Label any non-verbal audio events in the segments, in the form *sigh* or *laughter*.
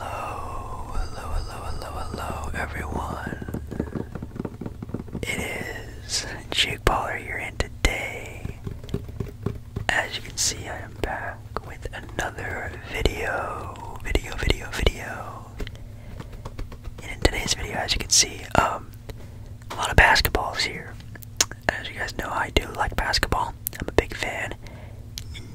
Hello, hello, hello, hello, hello, everyone. It is Jake Baller here, today, as you can see, I am back with another video, video, video, video. And in today's video, as you can see, um, a lot of basketballs here. As you guys know, I do like basketball. I'm a big fan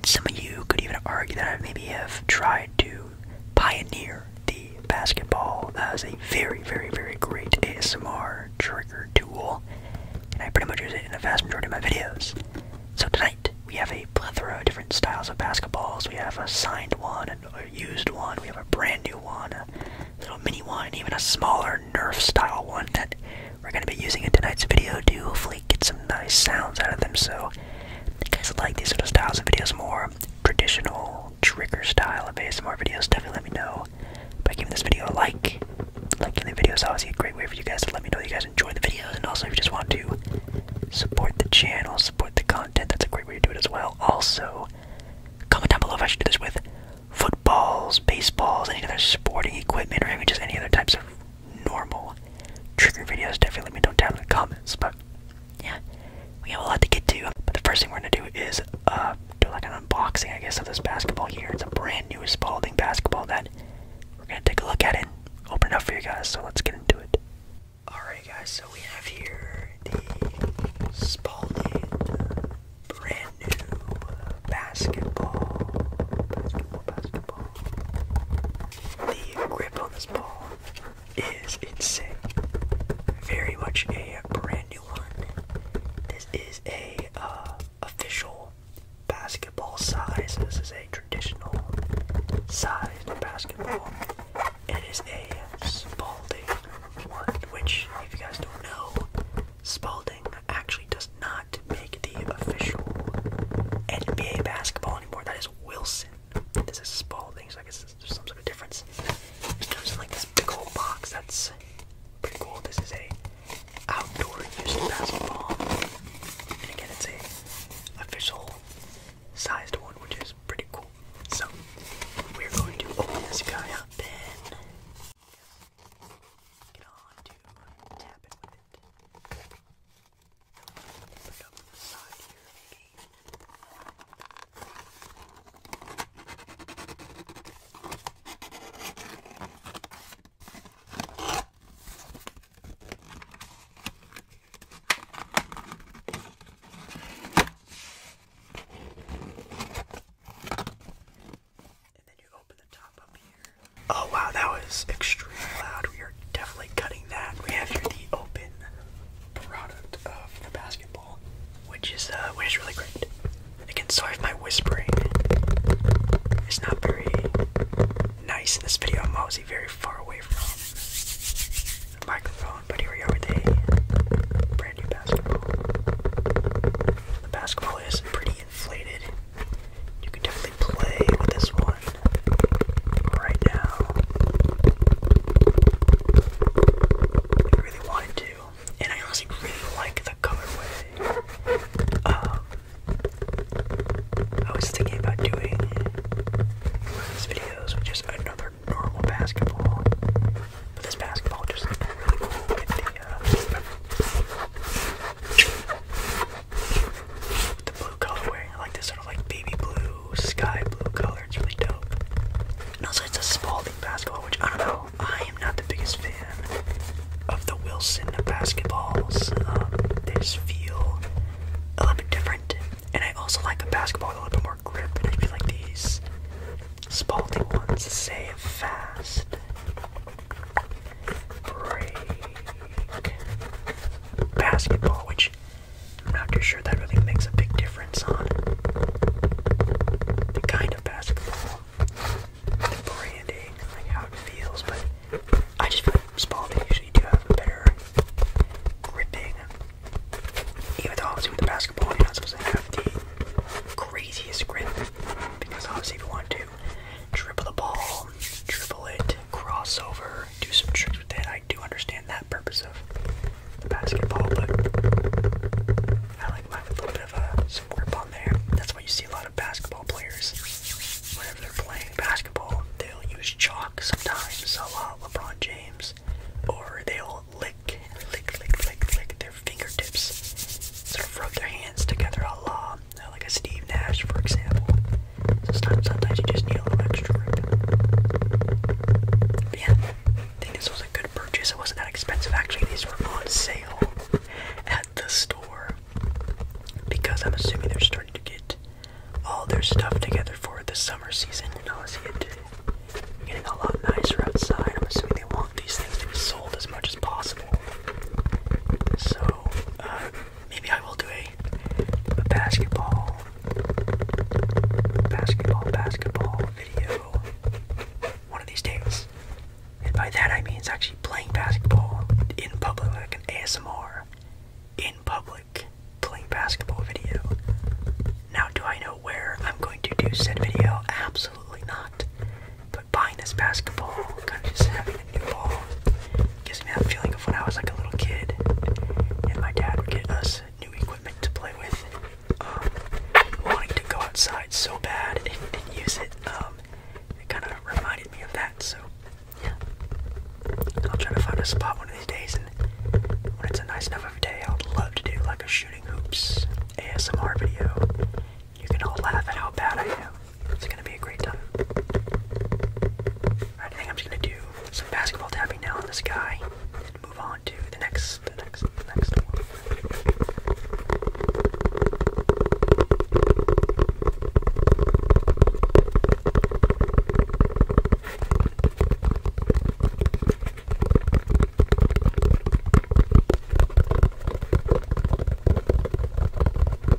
some of you could even argue that I maybe have tried to pioneer the basketball as a very, very, very great ASMR trigger tool, I pretty much use it in a vast majority of my videos. So tonight, we have a plethora of different styles of basketballs. We have a signed one, and a used one, we have a brand new one, a little mini one, even a smaller Nerf style one that we're going to be using in tonight's video to hopefully get some nice sounds out of them. So so, you guys like these sort styles of videos more, traditional trigger style of ASMR videos, definitely let me know by giving this video a like. Liking the videos, is obviously a great way for you guys to let me know you guys enjoy the videos, and also if you just want to support the channel, support the content, that's a great way to do it as well. Also, comment down below if I should do this with footballs, baseballs, any other sporting equipment, or even just any other types of normal trigger videos, definitely let me know down in the comments. But yeah, we have a lot to get to. But the first thing we're gonna do is uh, do like an unboxing, I guess, of this basketball here. It's a brand new Spalding basketball that we're gonna take a look at it and open it up for you guys. So let's get into it. Alright, guys, so we have here the Spalding brand new uh, basketball. The grip on this ball is insane. Very much a brand new one. This is a uh, official basketball size. This is a traditional size basketball. And it is a Spalding one, which, if you guys don't know, Spalding actually does does not make the official NBA basketball anymore. That is Wilson. This is Spalding, so I guess there's some sort of difference. It comes in like this big old box. That's pretty cool. This is a outdoor use basketball, and again, it's a official sized one, which is pretty cool. So we're going to open this guy up and get on to tap with it. Put up the side here, maybe. And then you open Oh wow, that was extremely loud. We are definitely cutting that. We have here the open product of the basketball, which is uh, which is really great. Again, sorry if my whispering It's not very nice in this video. I'm obviously very far away from the microphone, but here we are with a brand new basketball. The basketball is pretty inflated. You can definitely play with this one right now. If you really wanted to. And I honestly really like the colorway. Um, I was thinking about doing one of these videos with just another normal basketball. But this basketball just looks really cool with the uh, the blue colorway. I like this sort of like baby blue, sky blue color. It's really dope. And also it's a Spalding basketball, which I don't know. I am not the biggest fan of the Wilson basketballs. Um, they just feel a little bit different. And I also like a basketball with a little bit more grip. And I feel like these Spalding ones save fast break basketball, which I'm not too sure that really makes a big difference on the kind of basketball, the branding, like how it feels, but I just feel like usually do have a better gripping. Even though obviously with the basketball you're not supposed to have the craziest grip because obviously if you want to dribble the ball, dribble it, crossover, do some tricks with it. I do understand that purpose of the basketball, but I like mine with a little bit of some grip on there. That's why you see a lot of basketball players. Whenever they're playing basketball, they'll use chalk sometimes, a la LeBron James, or they'll lick, lick, lick, lick, lick their fingertips, sort of rub their hands together, a lot. Uh, like a Steve Nash, for example. sometimes you just need a little extra rip. But yeah, I think this was a good purchase. It wasn't that expensive actually. These were on sale at the store because I'm assuming they're starting to get all their stuff together for the summer season. And obviously, it, getting a lot nicer outside. I'm assuming they want these things to be sold as much as possible. So, uh, Maybe I will do a, a basketball, basketball, basketball video one of these days. And by that I mean it's actually playing basketball in public, like an ASMR in public playing basketball video. Now, do I know where I'm going to do said video? Absolutely not buying this basketball, kind of just having a new ball, gives me that feeling of when I was like a little kid, and my dad would get us new equipment to play with. Um, wanting to go outside so bad and, didn't use it, um, it kind of reminded me of that. So, yeah, I'll try to find a spot one of these days, and when it's a nice enough of a day, I'd love to do like a shooting hoops ASMR video. You can all laugh at how bad I am. It's gonna be a great time. I think I'm just gonna do some basketball tapping now on this guy and move on to the next, the next, the next one.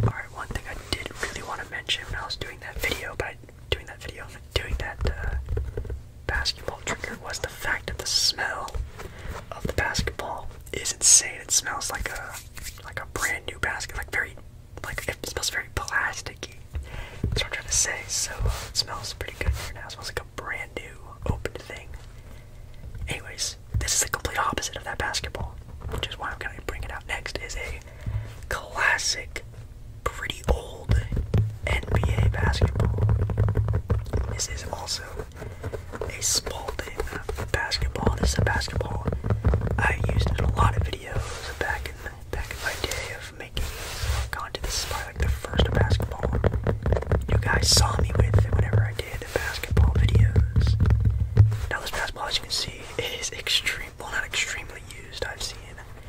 Alright, one thing I did really want to mention when I was doing that video, but I, doing that video, doing that uh, basketball trigger was the fact that the smell of the basketball is insane. It smells like a like a brand new basket, like very like it smells very plasticky. That's what I'm trying to say. So uh, it smells pretty good right now. It smells like a brand new opened thing. Anyways, this is the complete opposite of that basketball, which is why I'm gonna bring it out next. Is a classic, pretty old NBA basketball. This is also a Spalding basketball. This is a basketball I used in a lot of videos back in the, back in my day of making content. This is probably like the first basketball you guys saw me with whenever I did basketball videos. Now this basketball, as you can see, is extremely, well not extremely used, I've seen.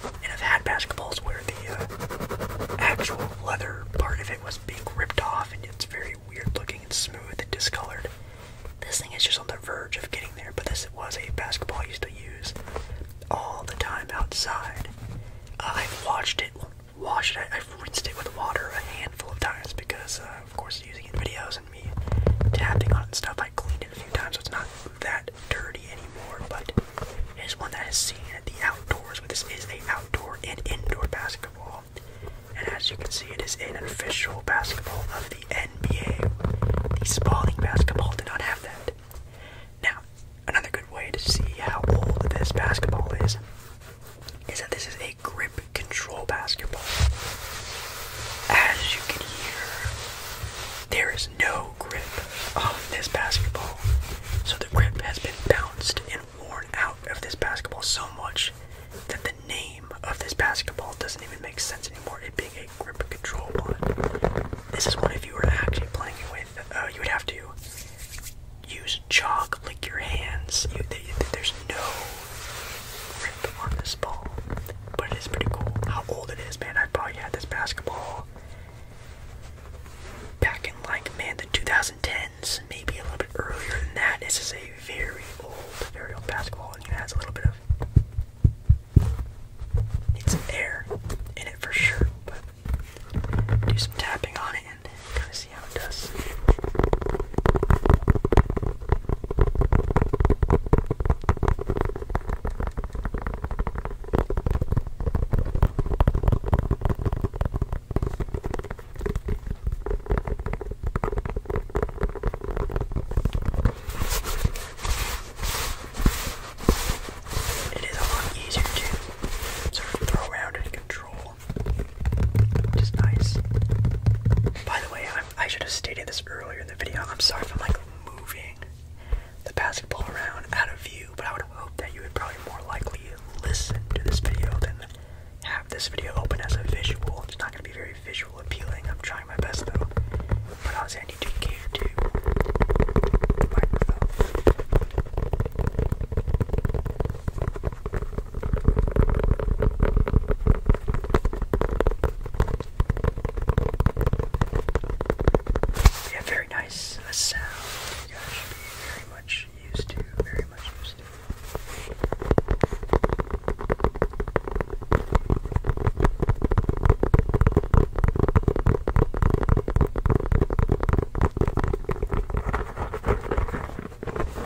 And I've had basketballs where the uh, actual leather part of it was being ripped off and it's very weird looking and smooth and discolored. This thing is just on the verge of getting there, but this was a basketball I used to use all the time outside. Uh, I've watched it washed it. I, rinsed it with water a handful of times because, uh, of course, using it in videos and me tapping on it and stuff, I cleaned it a few times, so it's not that dirty anymore. But it is one that is seen at the outdoors. But this is a outdoor and indoor basketball, and as you can see, it is an official basketball of the NBA. The spalling basketball did not have that. Now, another good way to see how old this basketball is is that this is a grip control basketball. As you can hear, there is no grip on this basketball. So the grip has been bounced and worn out of this basketball so much that the name of this basketball doesn't even make sense anymore, it being a grip control one. This is one if you were actually playing with, uh, you would have to use there's Lick your hands. there's no grip on this ball, but it is pretty cool. How old it is, man! I probably had this basketball back in like man the 2010s, maybe a little bit earlier than that. This is a very old, very old basketball, and it has a little bit of it's air in it for sure. But do some tapping on it and kind of see how it does. It is a lot easier to throw out and control which is nice. By the way, i should have stated this earlier in the video. I'm sorry if I'm like moving the basketball around out of view, but I would hope that you would probably more likely listen to this video than have this video open as a visual. It's not going to be very visual appealing. I'm trying my best though, but I was to cater to the microphone. Yeah, very nice. A sound you guys should be very much used to, very much used to.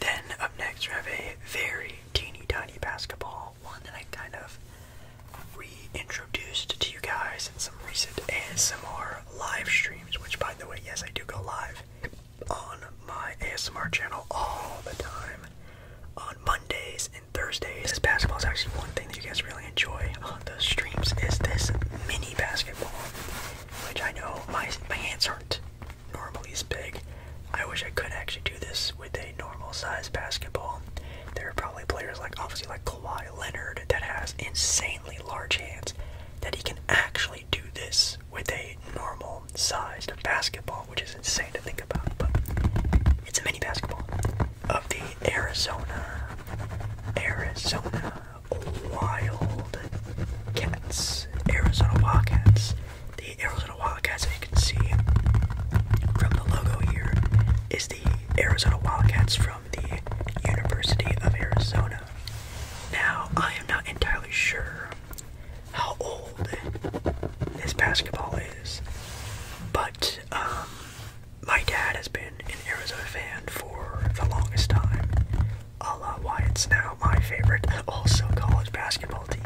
Then up next we have a very teeny tiny basketball, one that I kind of reintroduced to you guys in some recent ASMR live streams, which, by the way, yes, I do go live on my ASMR channel all the time on Mondays and Thursdays. This basketball is actually one thing that you guys really enjoy on the streams is this mini basketball, which I know my, my hands aren't normally as big. I wish I could actually do this with a normal size basketball. There are probably players like obviously like Kawhi Leonard that has insanely large hands that he can actually do this with a normal sized basketball, which is insane to think about. But it's a mini basketball of the Arizona, Arizona Wild Cats, Arizona Wildcats. The Arizona Wildcats, as you can see from the logo here, is the Arizona Wildcats from the University of Arizona. Now, I am not entirely sure how old this basketball is, but um, my dad has been an Arizona fan for the longest time. A la why it's now my favorite, also college basketball team.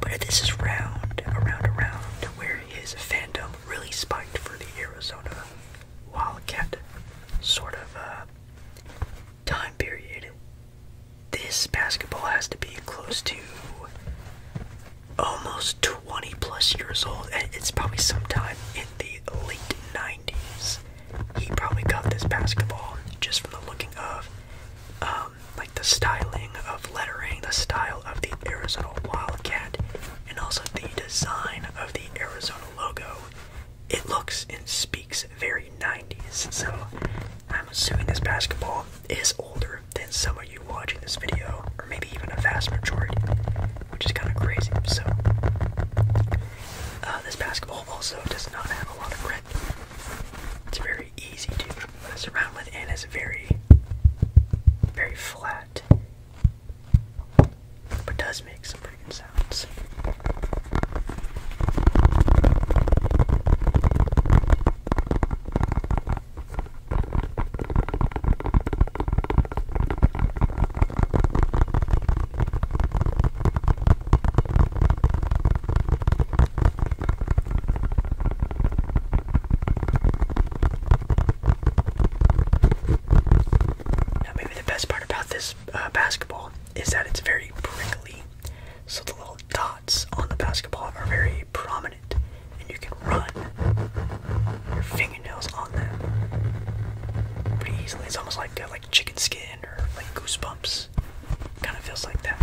But this is round, around, around, where his fandom really spiked for the Arizona Wildcat sort of uh, time period, this basketball has to be close to almost 20 plus years old, and it's probably sometime in the late 90s. He probably got this basketball just from the looking of, um, like the styling of lettering, the style of the Arizona Wildcat, and also the design of the Arizona logo it looks and speaks very 90s. So I'm assuming this basketball is older than some of you watching this video, or maybe even a vast majority, which is kind of crazy. So uh, this basketball also does not have a lot of grip. It's very easy to mess around with, and it's very, very flat that. But does make some pretty sounds the best part about this uh, basketball is that it's very prickly. So the little dots on the basketball are very prominent, and you can run your fingernails on them pretty easily. It's almost like uh, like chicken skin or like goosebumps. Kind of feels like that.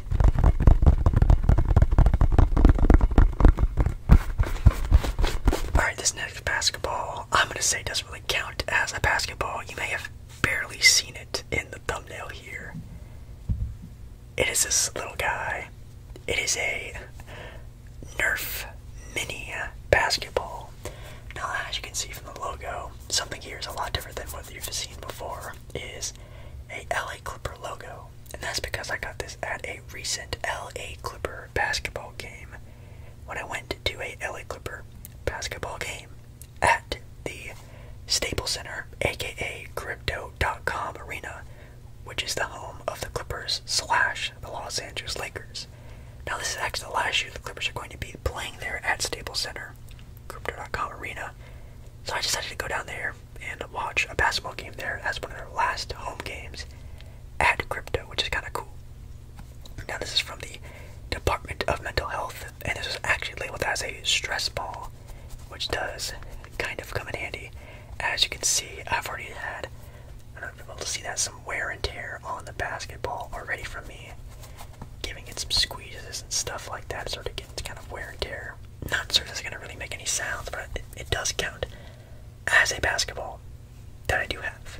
Alright, this next basketball, I'm gonna say doesn't really count as a basketball. You may have barely seen it in the thumbnail here. It is this little guy. It is a Nerf mini basketball. Now, as you can see from the logo, something here is a lot different than what you've seen before. Is a LA Clipper logo, and that's because I got this at a recent LA Clipper basketball game when I went to a LA Clipper basketball game at the Staples Center, aka Crypto.com Arena, which is the home of the Clippers slash the Los Angeles Lakers. Now, this is actually the last year the Clippers are going to be playing there at Staples Center, Crypto.com Arena. So I decided to go down there and watch a basketball game there as one of their last home games at Crypto, which is kind of cool. Now, this is from the Department of Mental Health, and this is actually labeled as a stress ball, which does kind of come in handy. As you can see, I've already had, I am not know if you able to see that, some wear and tear on the basketball already from me, giving it some squeezes and stuff like that, sort of getting kind of wear and tear not sure if it's going to really make any sounds, but it, it does count as a basketball that I do have.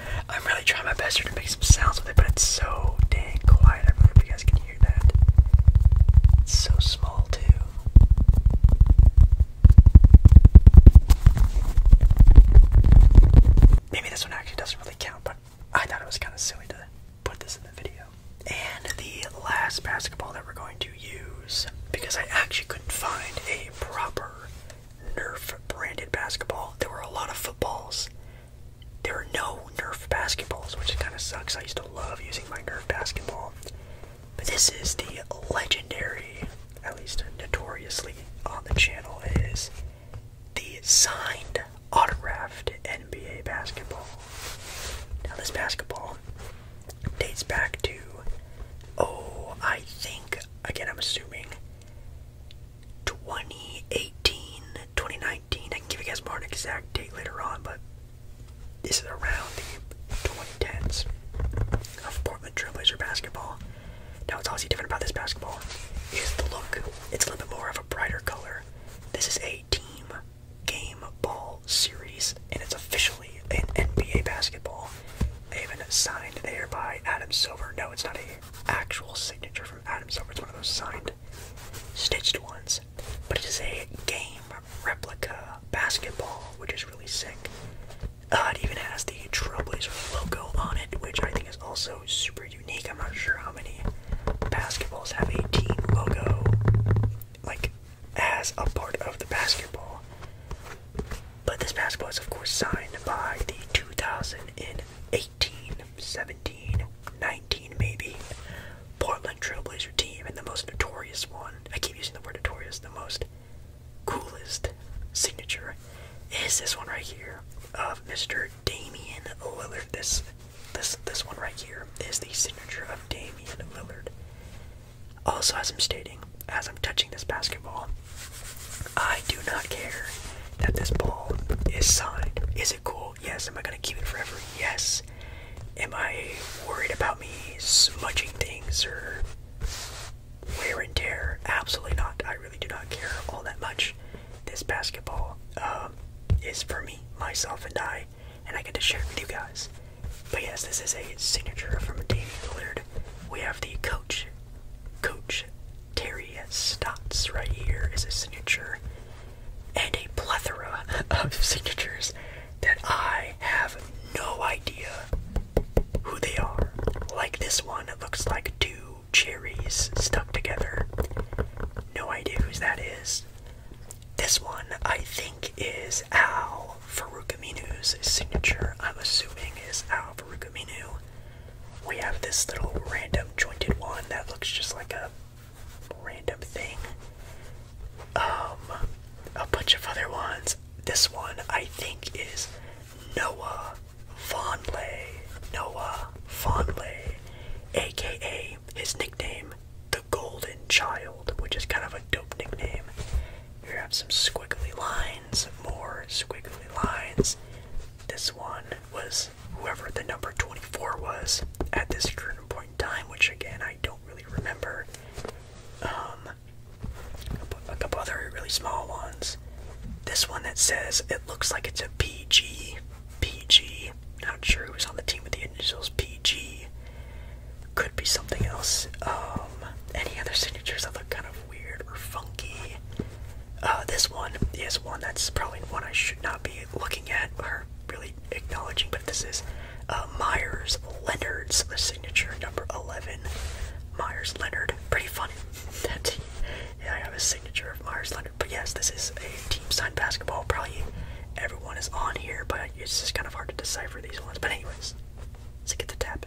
I'm really trying my best here to make some sounds with it, but it's so dang quiet. I hope you guys can hear that. It's so small, too. Maybe this one actually doesn't really count, but I thought it was kind of silly to put this in the video. And the last basketball that we're going to use, because I actually couldn't find a proper Nerf branded basketball, there were a lot of footballs there are no Nerf basketballs, which kind of sucks. I used to love using my Nerf basketball. But this is the legendary, at least notoriously on the channel, is the signed, autographed NBA basketball. Now, this basketball dates back to, oh, I think, again, I'm assuming 2018 2019. I can give you guys more exact date later on, but this is around the 2010s of Portland Trailblazer basketball. Now, what's also different about this basketball is the look. It's a little bit more of a brighter color. This is a team game ball series, and it's officially an NBA basketball. Even signed there by Adam Silver. No, it's not a actual signature from Adam Silver. It's one of those signed stitched ones, but it is a game replica basketball, which is really sick. Uh, it even has the Trailblazers logo on it, which I think is also super unique. I'm not sure how many basketballs have a team logo, like, as a part of the basketball. But this basketball is, of course, signed by the 2018 17, 19 maybe. Portland Trailblazer team and the most notorious one, I keep using the word notorious, the most coolest signature is this one right here of Mr. Damian Lillard. This this this one right here is the signature of Damian Lillard. Also, as I'm stating, as I'm touching this basketball, I do not care that this ball is signed. Is it cool? Yes. Am I gonna keep it forever? Yes. Am I worried about me smudging things or wear and tear? Absolutely not. I really do not care all that much. This basketball um, is for me, myself, and I, and I get to share it with you guys. But yes, this is a signature from Damian Lillard. We have the coach, coach Terry Stotts right here is a signature and a plethora *laughs* of signatures that I have no idea who they are. Like this one, it looks like two cherries stuck together. No idea whose that is. This one, I think, is Al Farouk signature. I'm assuming is Al Farouk we have this little random jointed one that looks just like a random thing. Um, a bunch of other ones. This one I think is Noah Fonley. Noah Fonley, aka his nickname, the Golden Child, which is kind of a dope nickname. Here have some squiggly lines, more squiggly lines. This one was whoever the number 24 was at this current point in time, which again I don't really remember. Um, a couple other really small ones. This one that says it looks like it's a PG. PG. Not sure who's on the team with the initials PG. Could be something else. Um, any other signatures that look kind of weird or funky. Uh, this one is one that's probably one I should not be looking at or really acknowledging, but this is uh, Myers Leonard's signature number 11. Myers Leonard, pretty funny *laughs* that he, yeah, I have a signature of Myers Leonard. But yes, this is a team signed basketball. Probably everyone is on here, but it's just kind of hard to decipher these ones. But anyways, let's get the tap.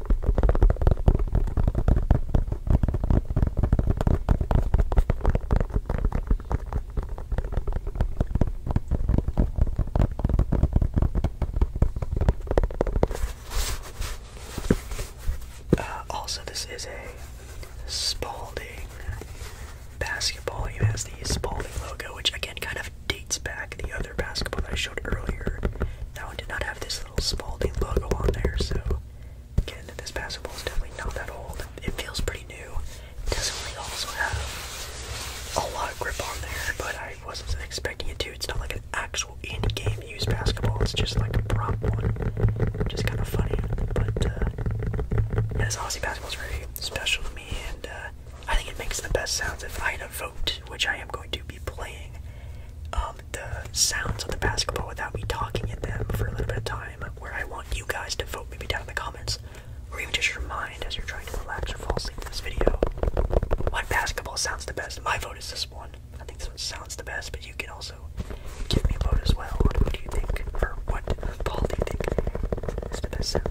Uh, also, this is a Spalding basketball. It has the Spalding logo, which again kind of dates back the other basketball that I showed earlier. That one did not have this little Spalding logo on there, so again, this basketball is definitely not that old. It feels pretty new. It does also have a lot of grip on there, but I wasn't expecting it to. It's not like an actual in-game used basketball. It's just like a prop one, just kind of funny. But as uh, yeah, Aussie basketball is very special to me, and uh, I think it makes the best sounds. If I had a which I am going to be playing um, the sounds of the basketball without me talking at them for a little bit of time, where I want you guys to vote maybe down in the comments, or even just your mind as you're trying to relax or fall asleep in this video. What basketball sounds the best? My vote is this one. I think this one sounds the best, but you can also give me a vote as well what do you think, For what Paul do you think is the best sound.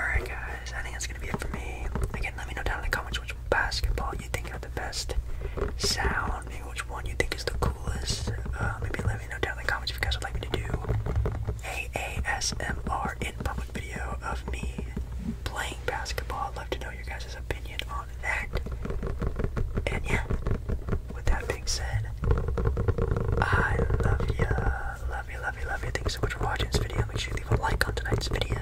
Alright guys, I think that's gonna be it for me. Again, let me know down in the comments which basketball you think are the best sound which one you think is the coolest. Uh, maybe let me know down in the comments if you guys would like me to do a ASMR in public video of me playing basketball. I'd love to know your guys' opinion on that. And yeah, with that being said, I love you, love you, love you, love you. ya. Thanks so much for watching this video. Make sure you leave a like on tonight's video.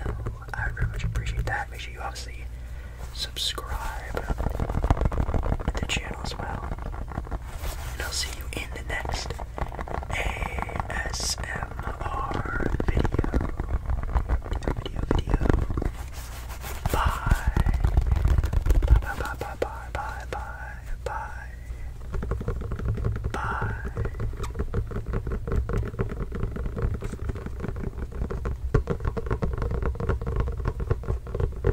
I very much appreciate that. Make sure you obviously subscribe to the channel as well and I'll see you in the next ASMR video. Bye, bye, bye, bye, bye, bye, bye, bye. Bye.